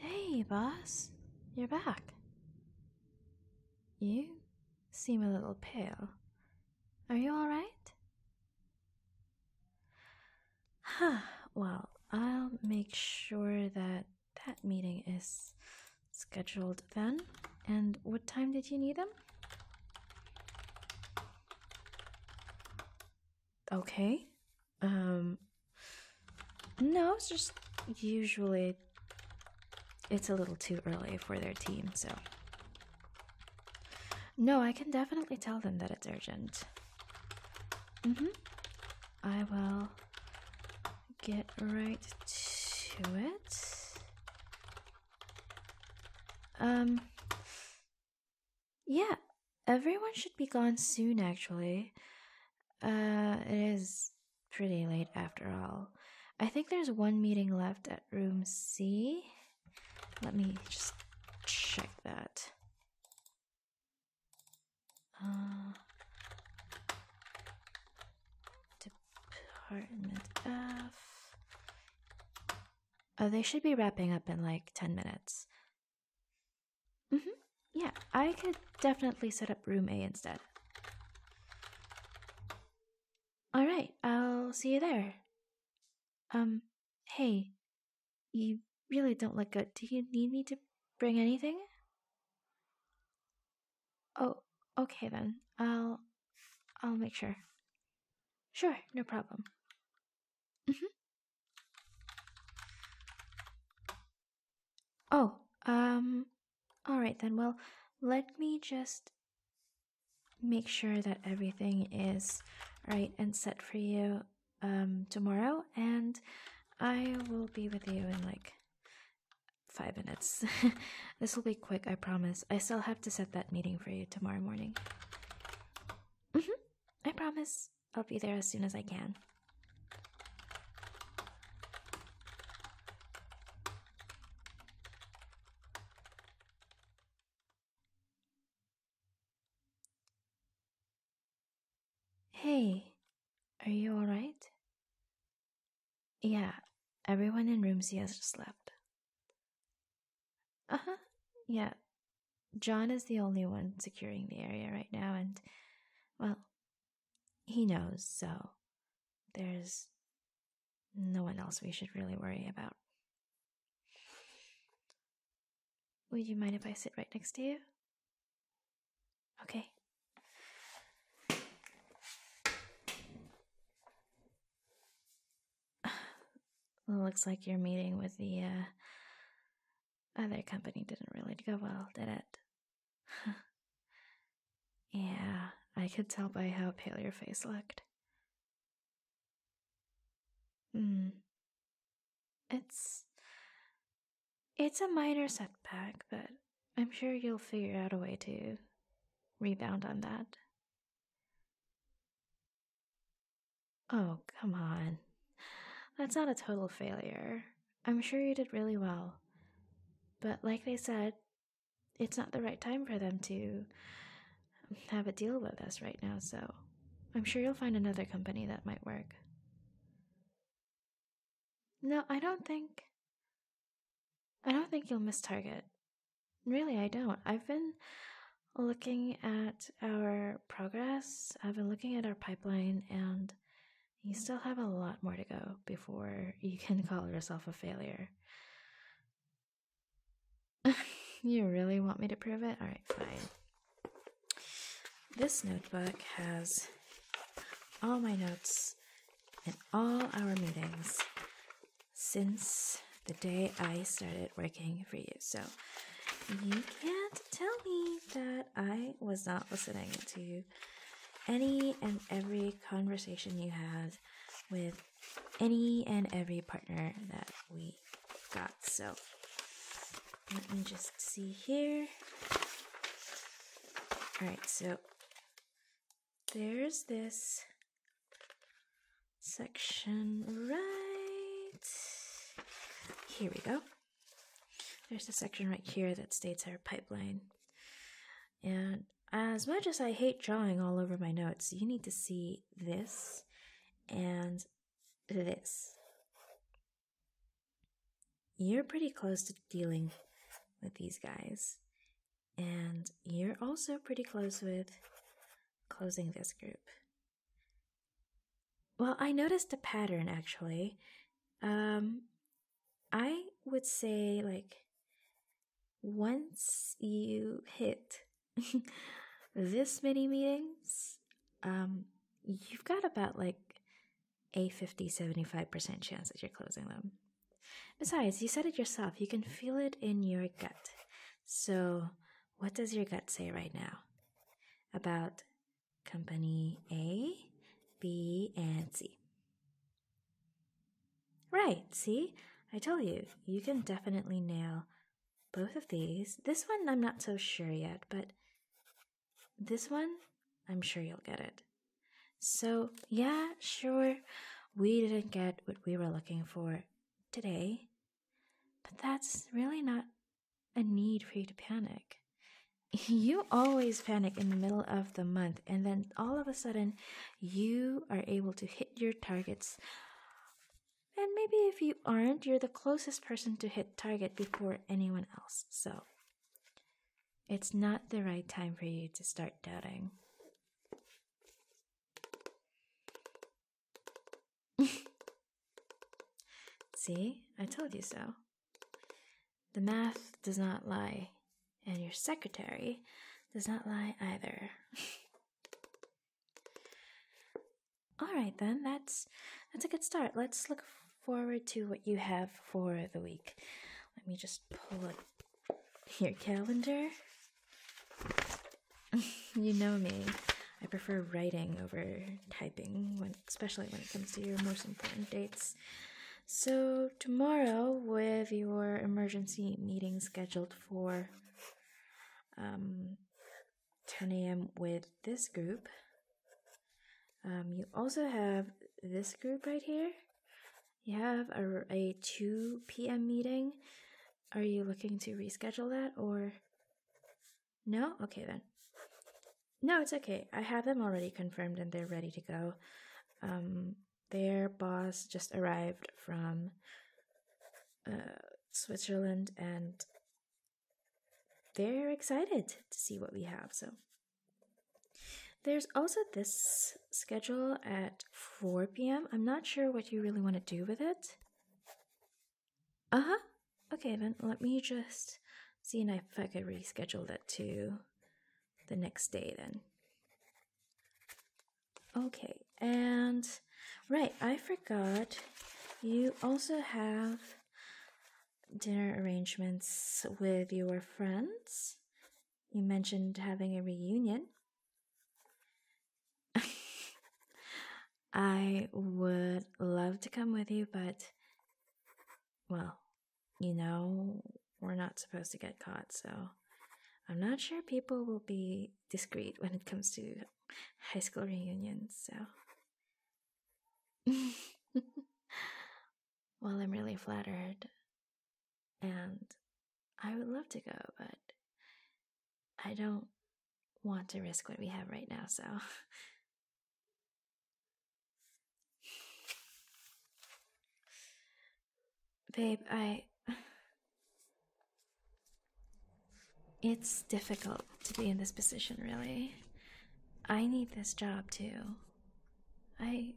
Hey, boss, you're back. You seem a little pale. Are you alright? well, I'll make sure that that meeting is scheduled then. And what time did you need them? Okay. Um No, it's just usually it's a little too early for their team, so no, I can definitely tell them that it's urgent. Mm hmm. I will get right to it. Um. Yeah, everyone should be gone soon, actually. Uh, it is pretty late after all. I think there's one meeting left at room C. Let me just check that. Uh, department F. Oh, they should be wrapping up in like 10 minutes. Mm hmm. Yeah, I could definitely set up room A instead. All right, I'll see you there. Um, Hey, you really don't look good. Do you need me to bring anything? Oh, okay then. I'll I'll make sure. Sure, no problem. Mm-hmm. Oh, um all right then. Well, let me just make sure that everything is right and set for you um, tomorrow, and I will be with you in like five minutes. this will be quick, I promise. I still have to set that meeting for you tomorrow morning. Mm-hmm. I promise. I'll be there as soon as I can. Hey, are you alright? Yeah, everyone in room Z has just left. Uh huh, yeah. John is the only one securing the area right now, and, well, he knows, so there's no one else we should really worry about. Would you mind if I sit right next to you? Okay. Looks like your meeting with the uh, other company didn't really go well, did it? yeah, I could tell by how pale your face looked. Mm. It's it's a minor setback, but I'm sure you'll figure out a way to rebound on that. Oh, come on. That's not a total failure. I'm sure you did really well. But like I said, it's not the right time for them to have a deal with us right now, so I'm sure you'll find another company that might work. No, I don't think. I don't think you'll miss Target. Really, I don't. I've been looking at our progress, I've been looking at our pipeline, and you still have a lot more to go before you can call yourself a failure. you really want me to prove it? Alright, fine. This notebook has all my notes and all our meetings since the day I started working for you. So you can't tell me that I was not listening to any and every conversation you had with any and every partner that we got. So let me just see here. All right, so there's this section right here we go there's a section right here that states our pipeline and as much as I hate drawing all over my notes, you need to see this and this. You're pretty close to dealing with these guys, and you're also pretty close with closing this group. Well, I noticed a pattern actually. Um, I would say, like, once you hit this many meetings, um, you've got about like a 50 75% chance that you're closing them. Besides, you said it yourself, you can feel it in your gut. So, what does your gut say right now about company A, B, and C? Right, see? I tell you, you can definitely nail both of these. This one I'm not so sure yet, but this one, I'm sure you'll get it. So, yeah, sure, we didn't get what we were looking for today, but that's really not a need for you to panic. You always panic in the middle of the month, and then all of a sudden, you are able to hit your targets. And maybe if you aren't, you're the closest person to hit target before anyone else. So it's not the right time for you to start doubting. See, I told you so. The math does not lie, and your secretary does not lie either. All right then, that's that's a good start. Let's look forward to what you have for the week. Let me just pull up your calendar. you know me. I prefer writing over typing, especially when it comes to your most important dates. So, tomorrow, with your emergency meeting scheduled for um, 10 a.m. with this group. Um, you also have this group right here. You have a, a 2 p.m. meeting. Are you looking to reschedule that or no? Okay then. No, it's okay. I have them already confirmed and they're ready to go. Um, their boss just arrived from uh, Switzerland and they're excited to see what we have. So there's also this schedule at 4 p.m. I'm not sure what you really want to do with it. Uh huh. Okay, then let me just see if I could reschedule that to the next day then. Okay, and right, I forgot you also have dinner arrangements with your friends. You mentioned having a reunion. I would love to come with you, but well, you know, we're not supposed to get caught. So I'm not sure people will be discreet when it comes to high school reunions. So, well, I'm really flattered. And I would love to go, but I don't want to risk what we have right now, so. Babe, I. It's difficult to be in this position, really. I need this job too. I.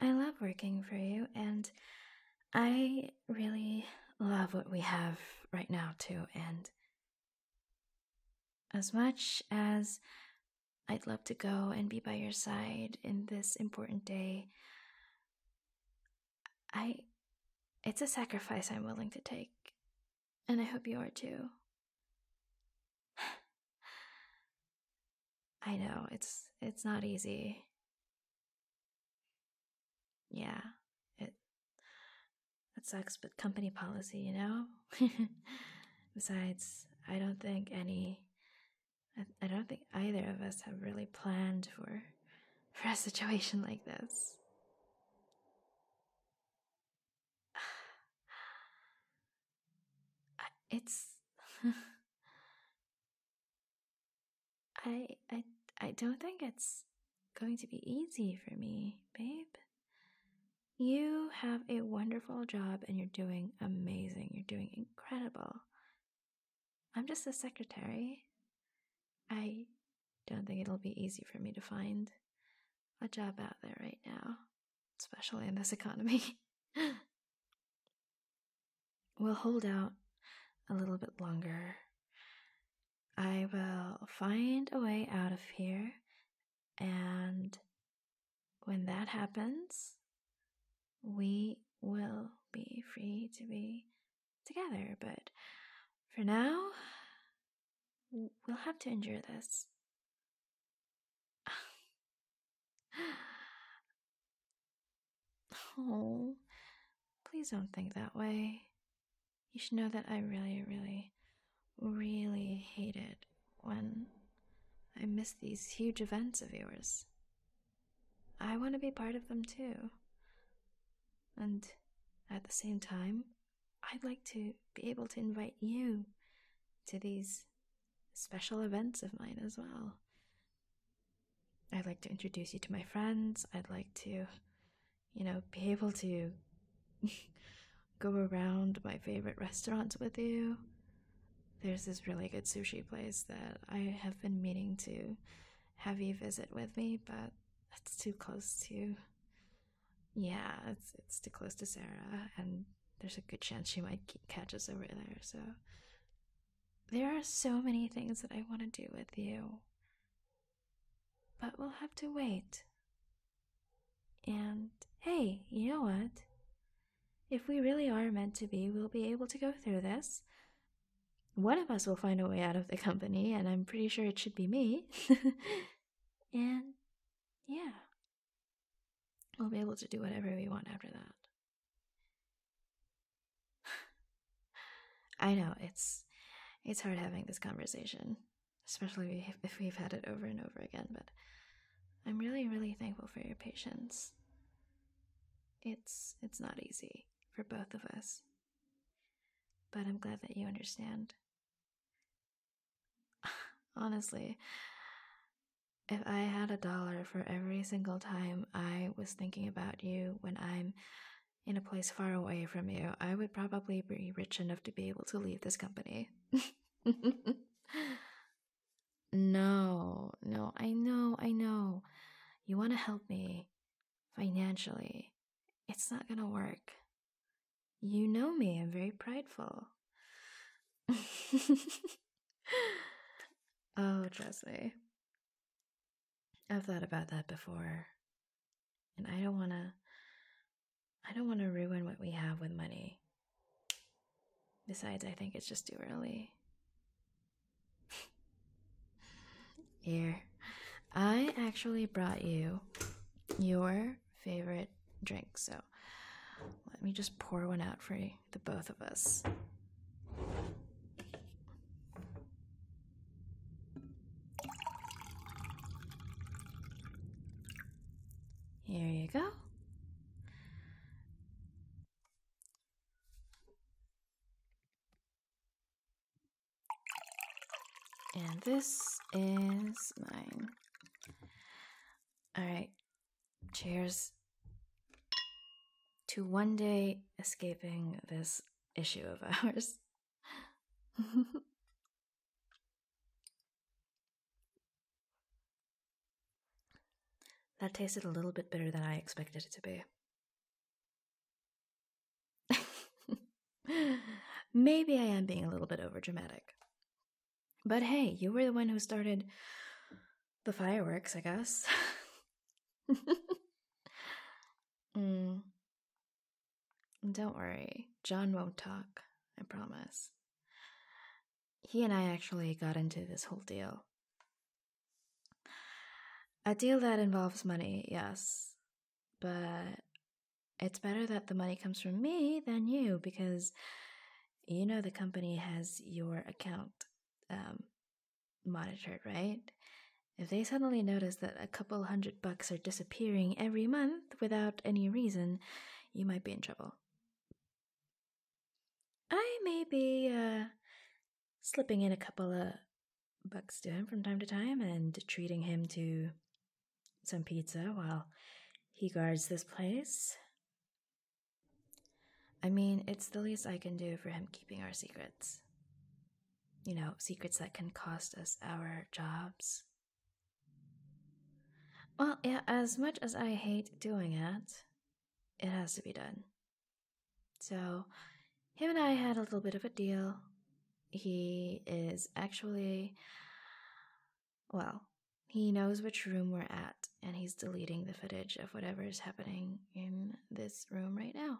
I love working for you, and I really love what we have right now, too. And as much as I'd love to go and be by your side in this important day. I. It's a sacrifice I'm willing to take, and I hope you are too. I know it's it's not easy. Yeah, it that sucks, but company policy, you know. Besides, I don't think any I, don't think either of us have really planned for for a situation like this. It's I I I don't think it's going to be easy for me, babe. You have a wonderful job and you're doing amazing. You're doing incredible. I'm just a secretary. I don't think it'll be easy for me to find a job out there right now, especially in this economy. we'll hold out a little bit longer. I will find a way out of here and when that happens, we will be free to be together. But for now, we'll have to endure this. oh, please don't think that way. You should know that I really, really, really hate it when I miss these huge events of yours. I want to be part of them too. And at the same time, I'd like to be able to invite you to these special events of mine as well. I'd like to introduce you to my friends. I'd like to, you know, be able to go around my favorite restaurants with you. There's this really good sushi place that I have been meaning to have you visit with me, but it's too close to. Yeah, it's it's too close to Sarah, and there's a good chance she might catch us over there. So there are so many things that I want to do with you, but we'll have to wait. And hey, you know what? If we really are meant to be, we'll be able to go through this. One of us will find a way out of the company, and I'm pretty sure it should be me. and yeah, we'll be able to do whatever we want after that. I know it's it's hard having this conversation, especially if we've had it over and over again, but I'm really, really thankful for your patience. It's it's not easy for both of us. But I'm glad that you understand. Honestly, if I had a dollar for every single time I was thinking about you when I'm in a place far away from you, I would probably be rich enough to be able to leave this company. No, no, I know, I know. You want to help me financially. It's not going to work. You know me, I'm very prideful. oh, trust I've thought about that before. And I don't want to I don't want to ruin what we have with money. Besides, I think it's just too early. Here, I actually brought you your favorite drink, so let me just pour one out for the both of us. Here you go. And this is mine. All right. Cheers to one day escaping this issue of ours. That tasted a little bit better than I expected it to be. Maybe I am being a little bit overdramatic. But hey, you were the one who started the fireworks, I guess. Mm. Don't worry, John won't talk, I promise he and I actually got into this whole deal. A deal that involves money, yes, but it's better that the money comes from me than you because you know the company has your account um, monitored, right? If they suddenly notice that a couple hundred bucks are disappearing every month without any reason, you might be in trouble. I may be uh, slipping in a couple of bucks to him from time to time and treating him to some pizza while he guards this place. I mean, it's the least I can do for him keeping our secrets. You know, secrets that can cost us our jobs well, yeah, as much as I hate doing it, it has to be done. So, him and I had a little bit of a deal. He is actually, well, he knows which room we're at, and he's deleting the footage of whatever is happening in this room right now.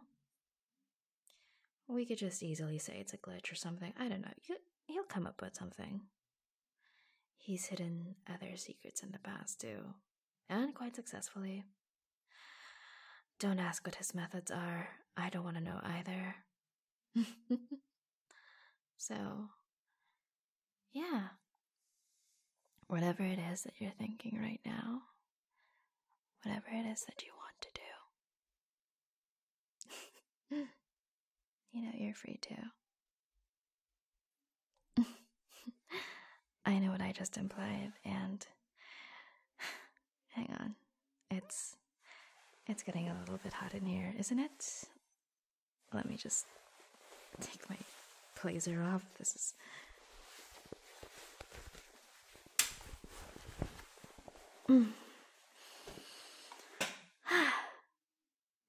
We could just easily say it's a glitch or something. I don't know. He'll come up with something. He's hidden other secrets in the past too, and quite successfully. Don't ask what his methods are, I don't want to know either. so, yeah. Whatever it is that you're thinking right now, whatever it is that you want to do, you know, you're free too. I know what I just implied, and hang on, it's it's getting a little bit hot in here, isn't it? Let me just take my blazer off. This is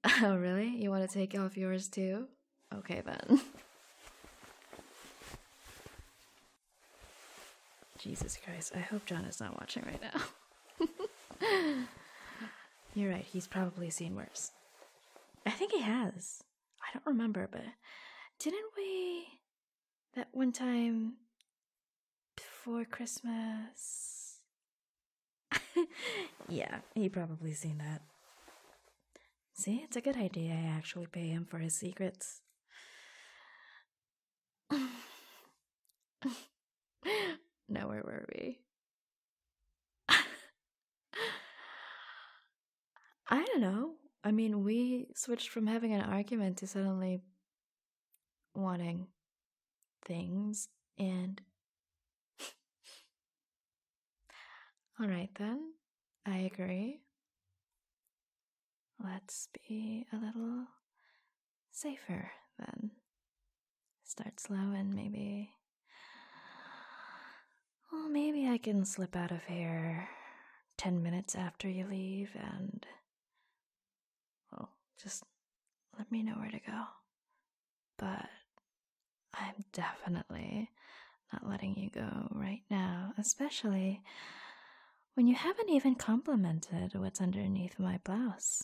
Oh, really? You want to take off yours too? Okay, then. Jesus Christ, I hope John is not watching right now. You're right, he's probably seen worse. I think he has. I don't remember, but didn't we. That one time. before Christmas. yeah, he probably seen that. See, it's a good idea I actually pay him for his secrets. now, where were we? I don't know. I mean, we switched from having an argument to suddenly wanting things, and all right, then. I agree. Let's be a little safer then. Start slow and maybe. Well, maybe I can slip out of here 10 minutes after you leave and well, just let me know where to go. But I'm definitely not letting you go right now, especially when you haven't even complimented what's underneath my blouse.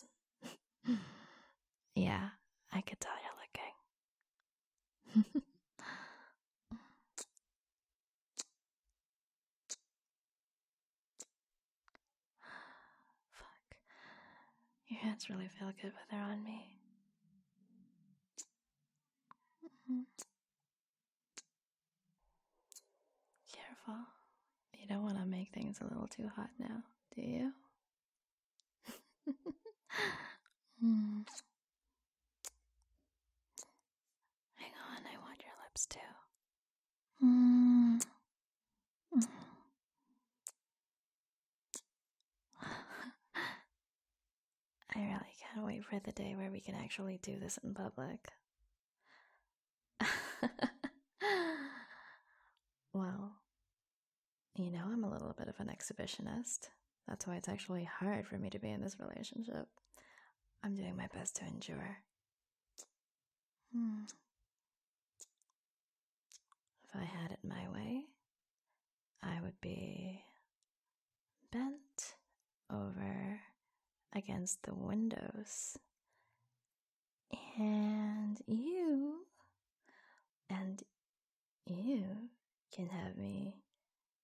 yeah, I could tell you're looking. Fuck. Your hands really feel good when they're on me. Mm-hmm. Careful. You don't want to make things a little too hot now, do you? Mm. Hang on, I want your lips too. Mm. I really can't wait for the day where we can actually do this in public. well, you know, I'm a little bit of an exhibitionist. That's why it's actually hard for me to be in this relationship. I'm doing my best to endure. Hmm. If I had it my way, I would be bent over against the windows. And you, and you can have me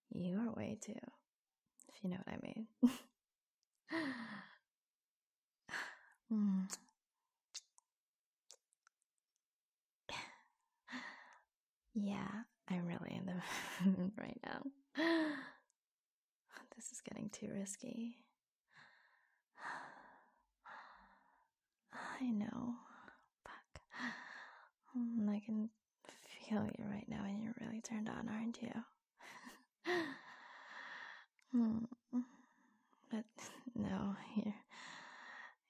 your way too, if you know what I mean. Mm. Yeah, i I'm really in the right now. This is getting too risky. I know. Fuck. I can feel you right now, and you're really turned on, aren't you? Hmm. But no, here.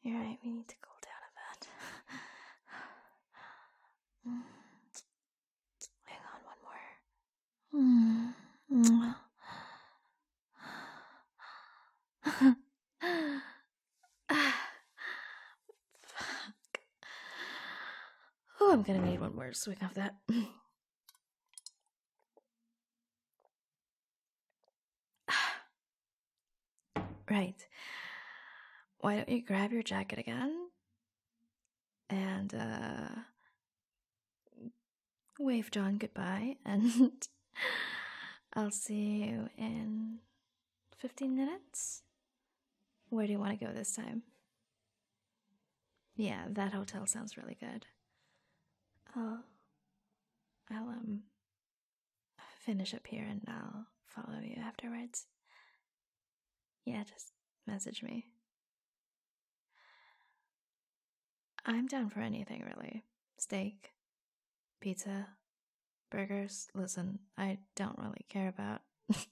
You're right, we need to cool down a bit. Hmm. Hang on, one more. Hmm. Fuck. Oh, I'm gonna need one more swing of that. right. Why don't you grab your jacket again and uh, wave John goodbye, and I'll see you in 15 minutes? Where do you want to go this time? Yeah, that hotel sounds really good. I'll, I'll um finish up here and I'll follow you afterwards. Yeah, just message me. I'm down for anything really. Steak, pizza, burgers. Listen, I don't really care about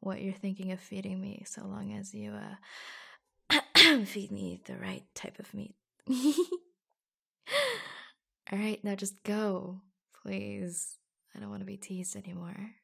what you're thinking of feeding me so long as you uh Feed me the right type of meat. All right, now just go, please. I don't want to be teased anymore.